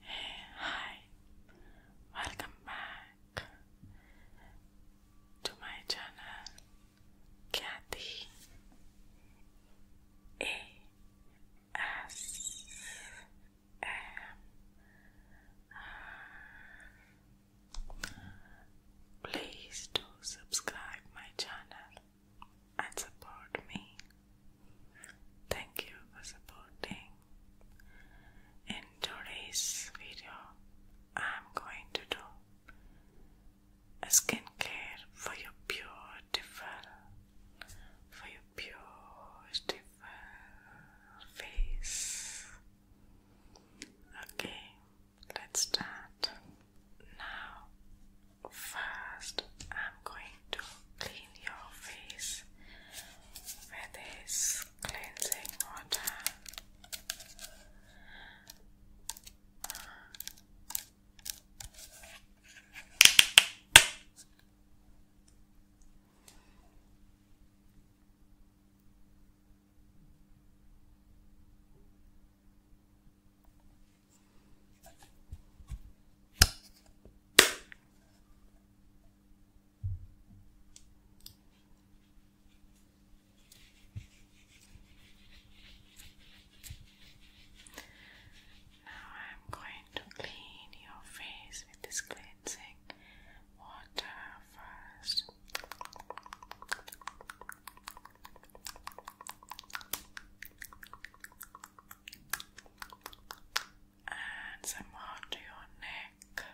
Hey, hi, welcome back to my channel, Kathy A S M. Please do subscribe my channel and support me. Thank you for supporting. In today's video, I'm going to do a skincare for your beautiful, for your beautiful face. Okay, let's start now. 1st I'm going to clean your face with this cleansing water. Now I'm going to clean your face with this cleansing water first and some more your neck.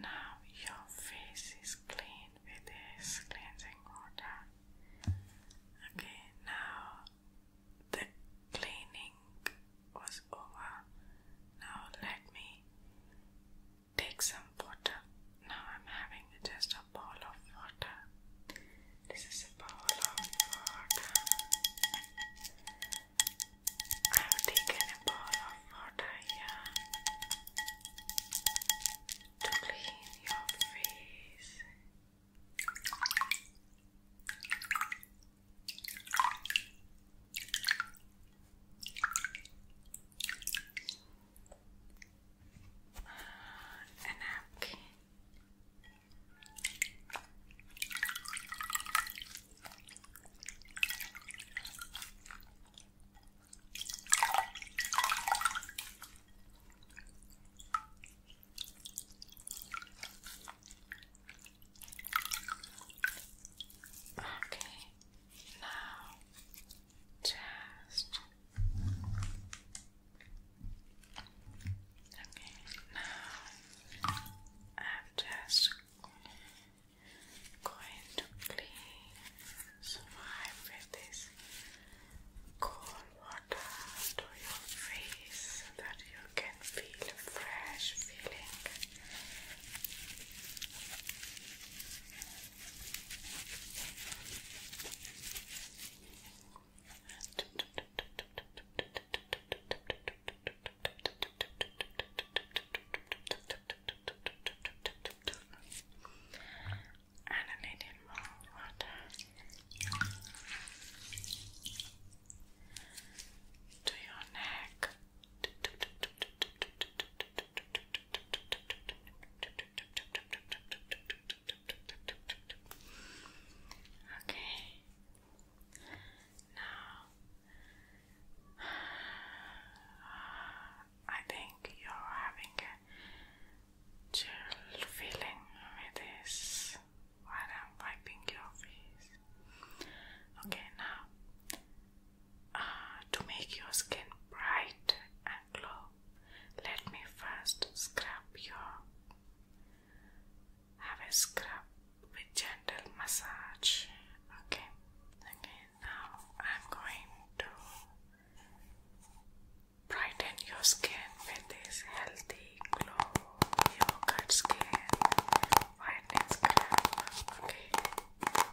Now your face is clean with this cleansing water. Okay, now the cleaning was over. Now let me Take some water. Now I'm having just a ball of water. This is a ball of water. I've taken a ball of water here to clean your face a napkin. Okay, now, just okay. Now, I'm just going to please wipe with this cold water to your face that you can feel fresh feeling. And I need more water. To your neck. To Okay. Now, I think you're having a chill feeling with this while I'm wiping your face. Okay, now to make your skin bright and glow, let me first scrub your. Have a scrub with gentle massage. Okay. Okay. Now I'm going to brighten your skin with this healthy glow yogurt skin whitening scrub. Okay.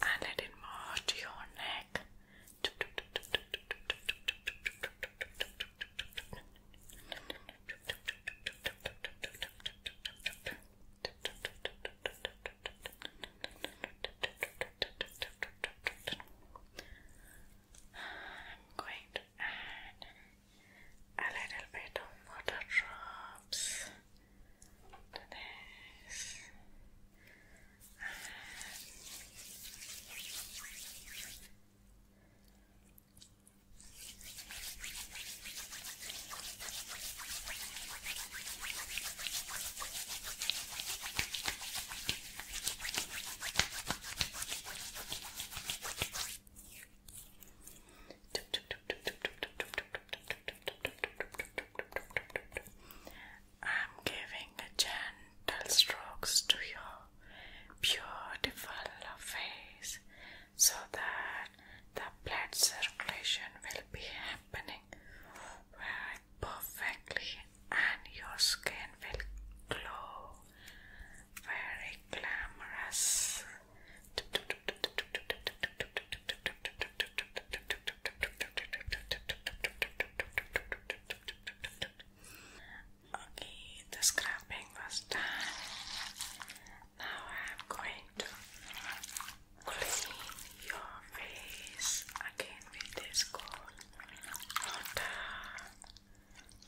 And let it move to your neck. I'm going to add a little bit of water drops to this. I'm giving a ten gentle strokes to your beautiful face so that the blood circulation will be happening very perfectly and your skin will glow very glamorous. Okay, the scrubbing was done. Now I'm going to clean your face again with this cold water.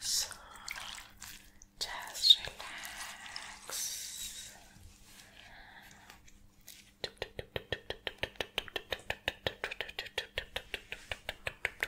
So just relax.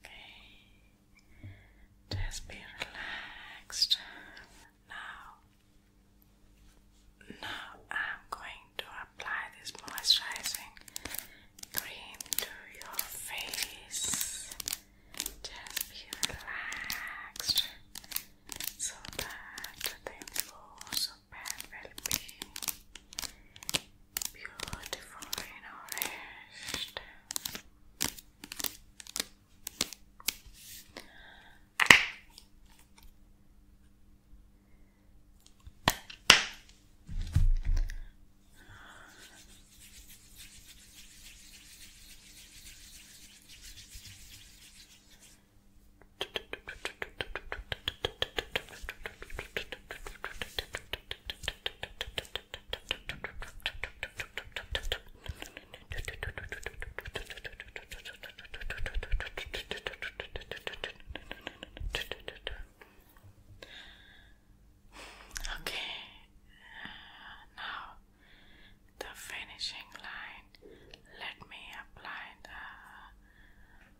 Okay, just be relaxed. Now, now I'm going to apply this moisturizing cream to your face. Just be relaxed so that the flows of bad well being beautiful and nourished. Okay, now the finishing line. Let me apply the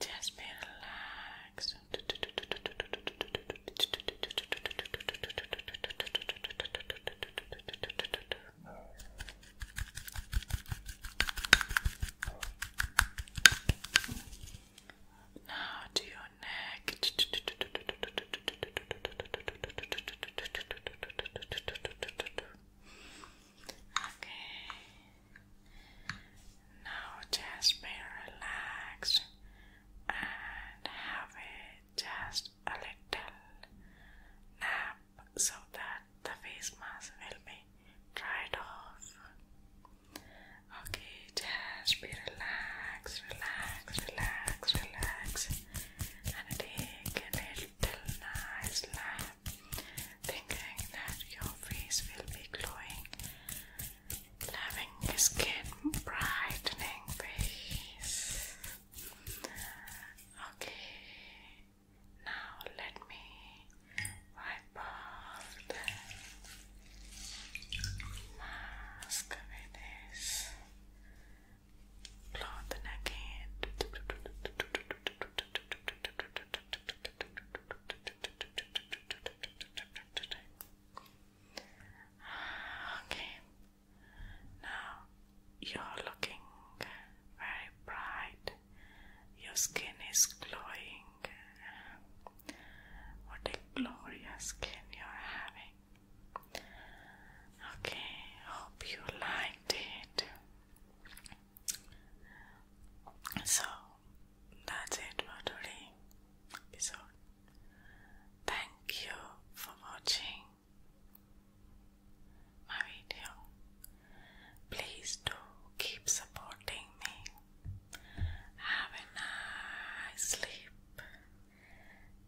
Just relax. relaxed. to your neck. Okay. Now just be relaxed and have it just a little nap so that the face mask will be dried off. Okay, just be relaxed, relax, relax, relax, and take a little nice lamp, thinking that your face will be glowing, loving skin, brightening face. Okay, now let me wipe off the mask with this cloth again. Okay. Now you're looking very bright. Your skin is glowing. What a glorious skin you're having. Okay, hope you liked it. So that's it for today Thank you for watching my video. Please do keep supporting me. Have a nice sleep.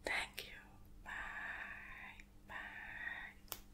Thank you. Bye. Bye.